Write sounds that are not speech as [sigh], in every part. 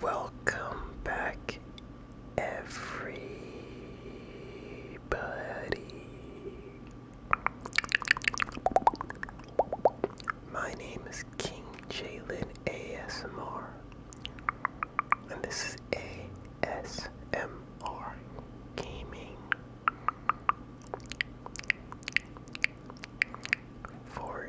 Welcome back, everybody. My name is King Jalen ASMR, and this is ASMR Gaming. For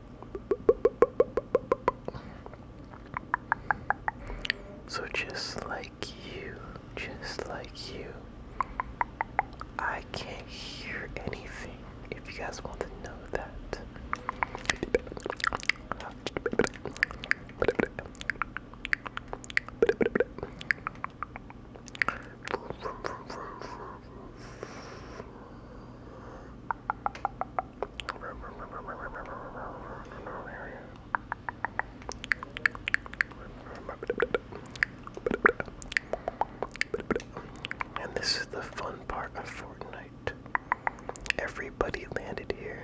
so just like you, just like you, I can't hear anything. If you guys want to know that. And this is the fun part of Fortnite. Everybody landed here.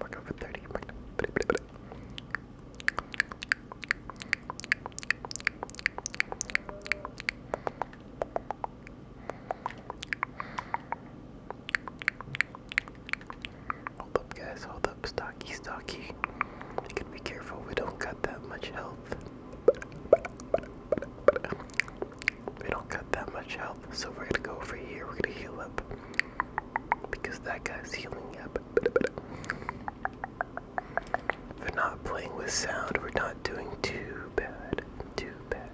Mark over 30. Mark over 30. Hold up, guys. Hold build up stocky stocky. You can be careful we don't got that much health. We don't got that much health, so we're gonna go over here, we're gonna heal up. Because that guy's healing up. We're not playing with sound, we're not doing too bad. Too bad.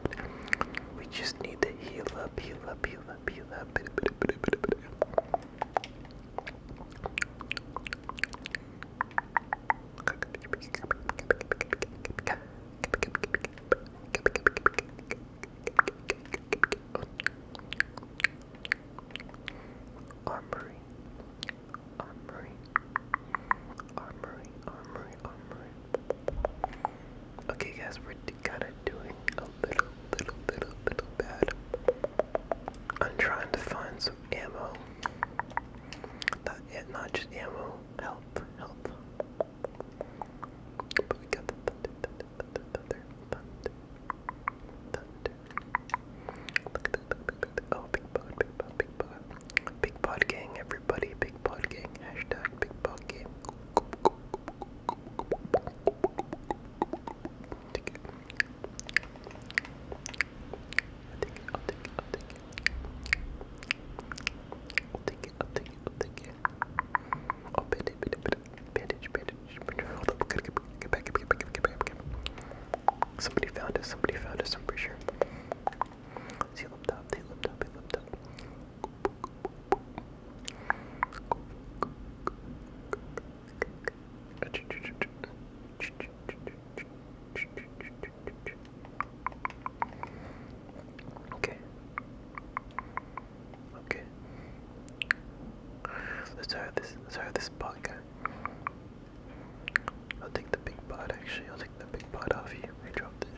We just need to heal up, heal up, heal up, heal up. Armory, armory, armory, armory, armory. Okay, guys, we're kind of doing a little, little, little, little bad. I'm trying to find some ammo. Not, not just ammo, help, help. But we got the Oh, big pod, big pod, big pod. Big pod gang, everybody, big pod gang. Hashtag big pod gang. I'll take it. I'll take it. I'll take it. I'll take it. I'll take it. I'll take it. I'll take it. Oh, bandage, bandage, bandage, bandage, bandage. Hold up. Get, get, get back. Get back. Get back. Get back. Get back. Somebody found us. Somebody found us. I'm pretty sure. See, up top. They lipped up. They lipped up. Okay. Okay. Let's try this. Let's try this bug. I'll take the big pot actually. I'll take the big pot off you. I dropped it.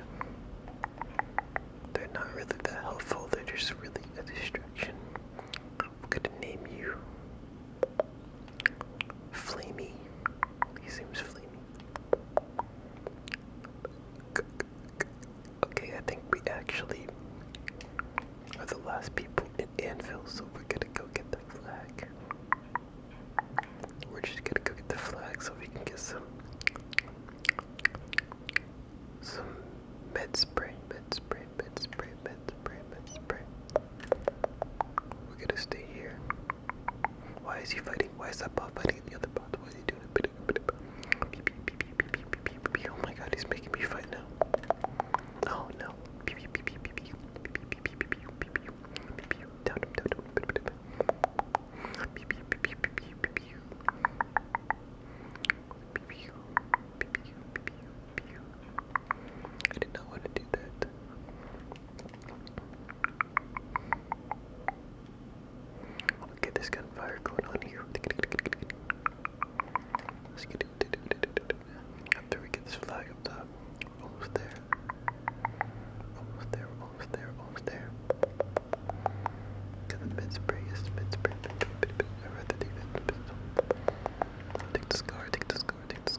They're not really that helpful. They're just really a distraction. I'm gonna name you Flamey. He seems flamey. Okay, I think we actually are the last people in Anvil, so we're gonna go get the flag. We're just gonna go get the flag so we can get some some med spray, med spray, spray, bed spray, bed spray, bed spray. We're gonna stay here. Why is he fighting? Why is that bot fighting the other bot? Why is he doing it? Oh my god, he's making me fight now. Oh no. I did not want to do that. Okay, there's gunfire going on here. Let's get it. After we get this flag up top. Almost there. Almost there, almost there, almost there. Get the mid spray, yes, mid spray. I'd rather take that pistol. Take this car, take this car, take this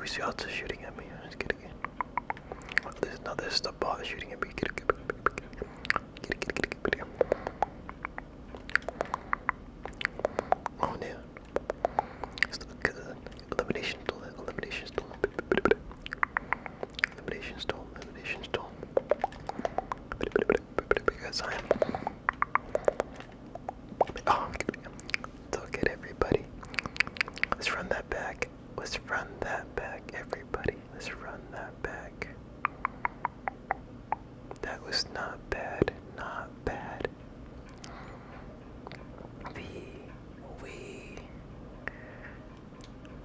We see out shooting at me. Let's again. This no, this is shooting at me. Get it, get it, get it, get it, get it, get it. elimination stone. Elimination stone. Elimination stone. Elimination stone. Because I'm um, look at everybody. Let's run that back. Let's run that back, everybody. Let's run that back. That was not bad. Not bad. We we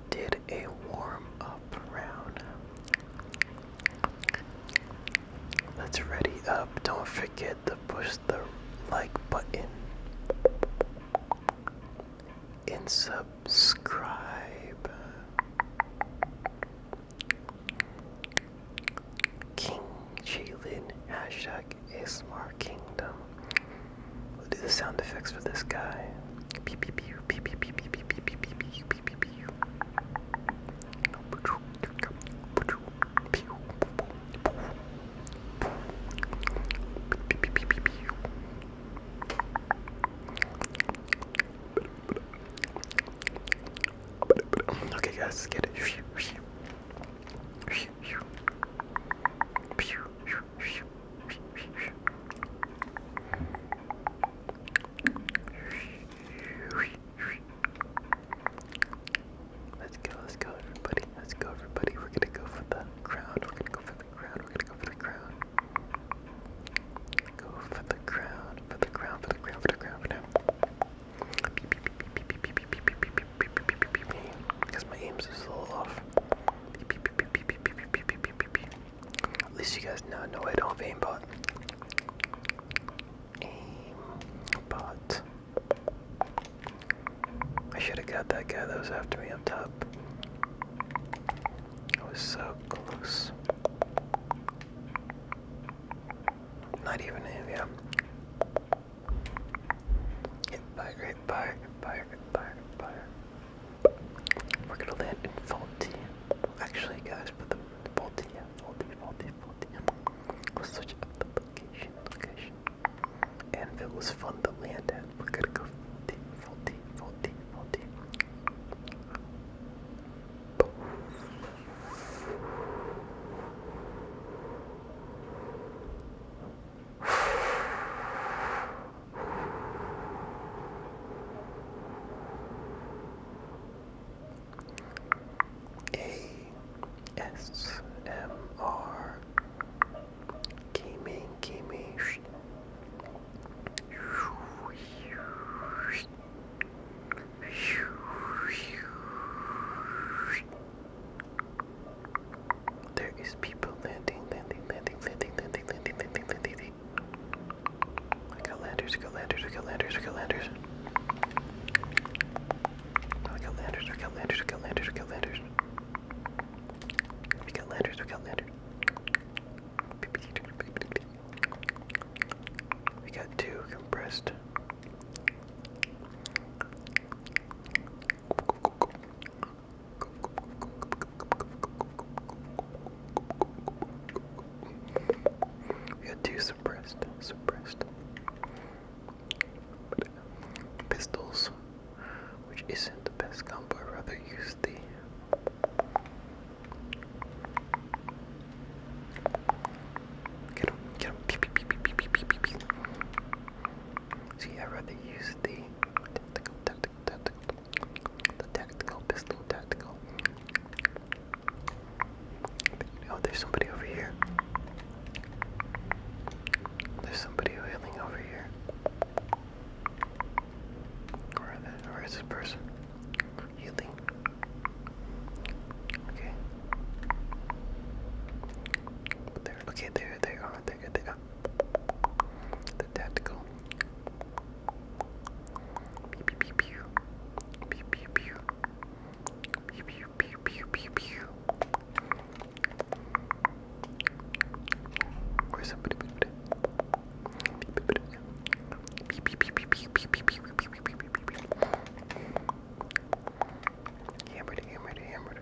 did a warm up round. Let's ready up. Don't forget to push the like button and subscribe. King Jalen hashtag ASMR Kingdom. We'll do the sound effects for this guy. Okay, guys, let's get it. Let's go, let's go, everybody. Let's go, everybody. We're gonna go for the crown. We're gonna go for the crown. We're gonna go for the crown. Go for the crown. For the crown. For the crown. For the crown. For now. Because my aim's is a little off. At least you guys now know I don't have aimbot. But I should have got that guy that was after me up top. I was so close. Not even him, yeah. Hit by, hit by, hit We're gonna land in faulty. Actually, guys, put the faulty, yeah, faulty, faulty, faulty. we switch up the location, location and it was fun to land at. We're gonna go full deep, full deep, full deep, full deep. Hey, SMR gaming gaming There is people landing landing landing landing landing landing landing landing I got landers I got landers I got landers I got landers Oh, we got landers, we got landers, we got landers, we got landers. We got landers, we got landers. We got two compressed. We got two suppressed, suppressed pistols, which isn't the best combo. I'd rather use the get him, get him, pee pee pee pee pee pee pee pee. See, I'd rather use the tactical, tactical, tactical, the tactical pistol, tactical. Oh, there's somebody over here. There's somebody wailing over here. Where, the, where is this person? Healing. Okay. There, okay, there they are. There they are. The tactical. Pew pew pew pew. Pew pew pew. Pew, pew, pew, pew, pew, pew. Or somebody pew, pew, pew, pew, pew, pew, pew, pew, pew, pew, pew, pew, pew. Hammered, hammered, hammered.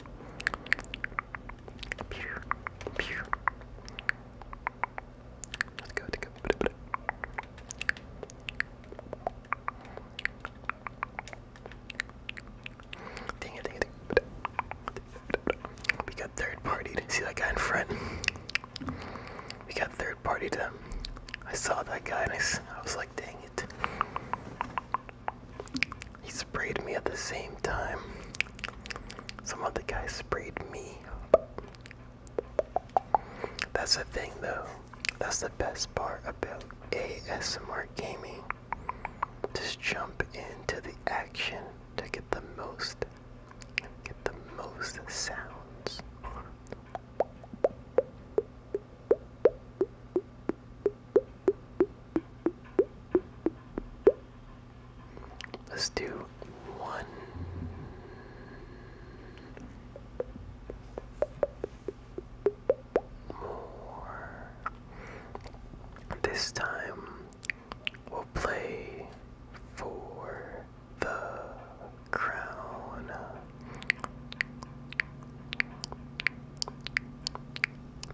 Let's go, let's go. Dang it, dang it, dang it. We got third partied. See that guy in front? We got third partied him. I saw that guy and I, I was like, dang it. He sprayed me at the same time. Some other guy sprayed me. That's the thing though. That's the best part about ASMR gaming. Just jump into the action to get the most get the most sounds. Let's do one. More. This time we'll play for the crown.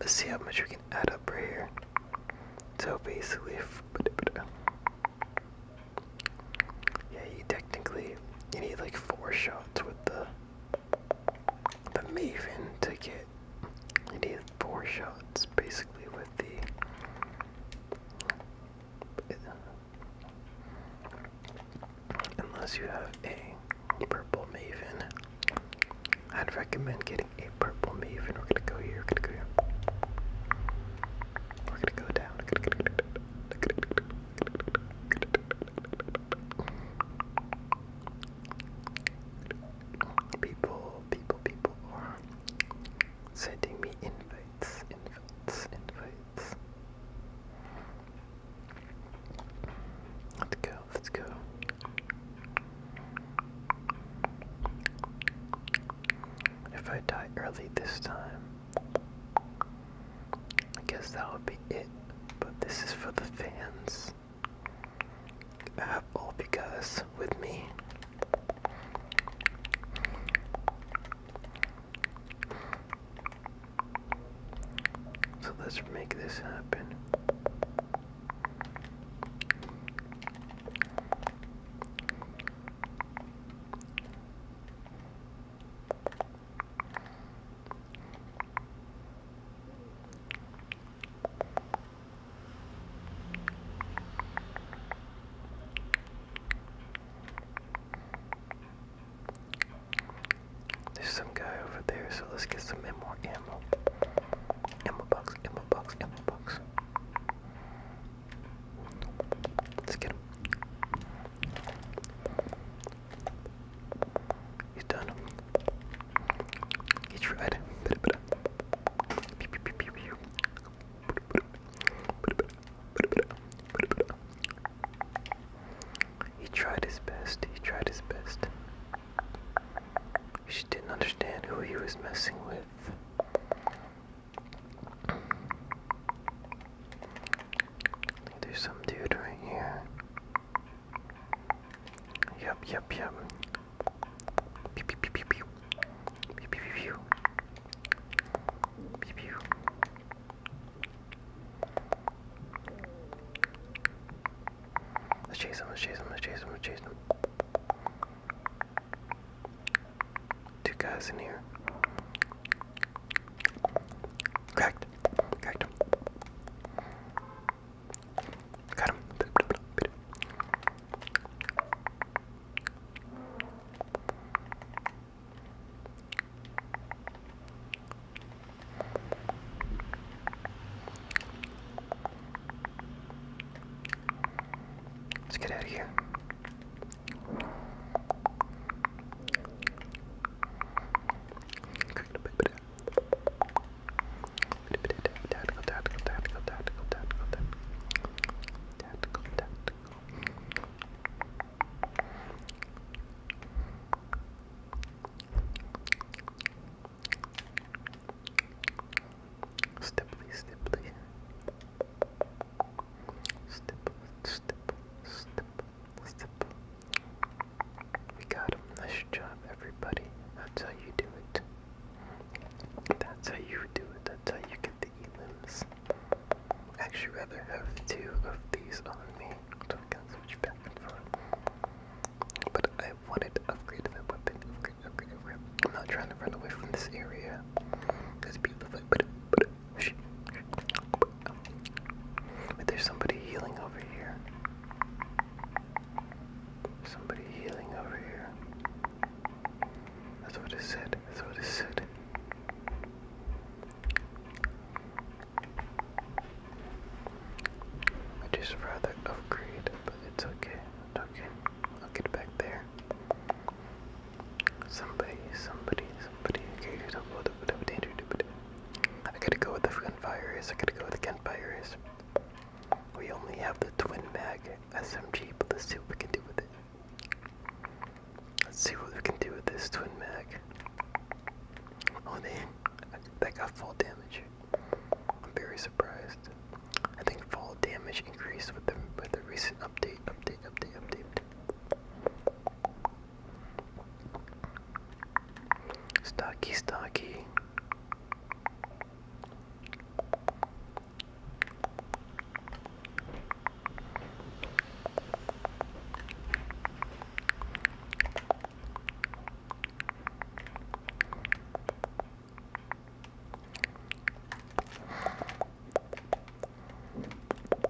Let's see how much we can add up right here. So basically, yeah, you technically you need like four shots with the the Maven to get right. And he had four shots basically with the unless you have a purple maven. I'd recommend getting a purple maven. We're gonna go here, we're gonna go here. We're gonna go down people, people, people are sending me invites, invites, invites. Let's go, let's go. If I die early this time, I guess that would be it. But this is for the fans. Uh, all because with me. So let's make this happen. There's some guy over there, so let's get some more ammo. Ammo box, ammo box, ammo box. Let's get him. He's done. He tried. He tried his best. He tried his best. She didn't understand who he was messing with. I think there's some dude right here. Yep, yep, yep. Pew, pew, pew, pew, pew. Pew, pew, pew, pew. Pew, pew. Let's chase him, let's chase him, let's chase him, let's chase him. Two guys in here. Cracked. Cracked him. Got him. Let's get out of here. Tactical, tactical, tactical, tactical, tactical, tactical, tactical. We got a Nice job, everybody. That's how you do it. That's how you do it. That's how you get the elims. I actually rather have two of these on me Don't can switch back and forth. But I wanted to upgrade my weapon. Upgrade, upgrade, upgrade. I'm not trying to run away from this area. This people like, but, but, shh. Wait, there's somebody healing over here. Somebody healing over here. That's what it said. That's what it said. I just rather upgrade, but it's okay. It's okay. I'll get back there. Somebody, somebody, somebody. Okay, I gotta go with the gunfire is. I gotta go with the gunfire is. We only have the twin mag SMG, but let's see what we can do with it. Let's see what we can do with this twin mag. Oh, damn. That got full damage. I'm very surprised. I think full damage increased with the, with the recent update, update, update, update. Stocky, stocky.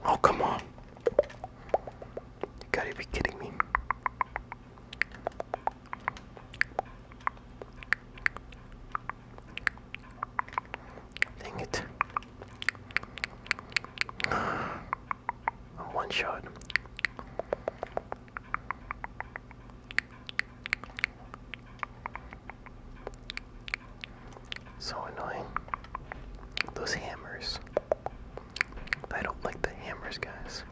Oh, come on. You gotta be kidding me. Dang it. one shot. So annoying. Those hammers. I don't like the hammers, guys.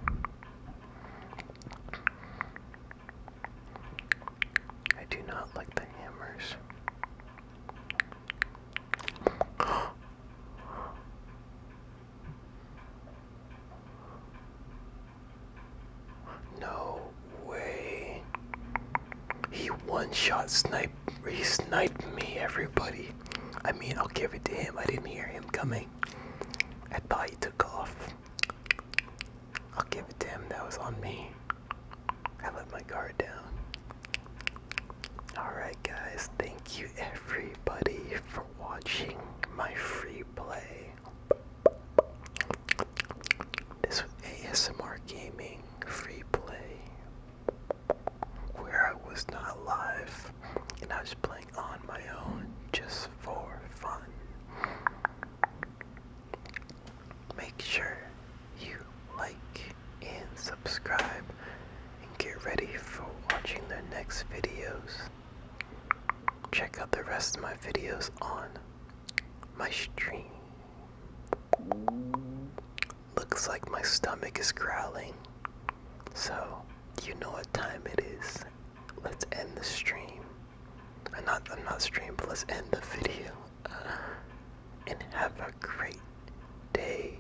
I do not like the hammers. [gasps] No way. He one shot sniped he me everybody. I mean I'll give it to him. I didn't hear him coming. I thought he took off. I'll give it damn him. That was on me. I let my guard down. Alright, guys. Thank you, everybody, for watching my free play. This was ASMR Gaming Free Play, where I was not live and I was playing on my own just for fun. Make sure you like and subscribe and get ready for watching the next videos. Check out the rest of my videos on my stream. Looks like my stomach is growling. So, you know what time it is. Let's end the stream. I'm not, I'm not stream, but let's end the video. Uh, and have a great day,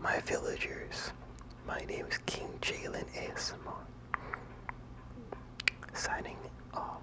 my villagers. My name is King Jalen ASMR. Signing off.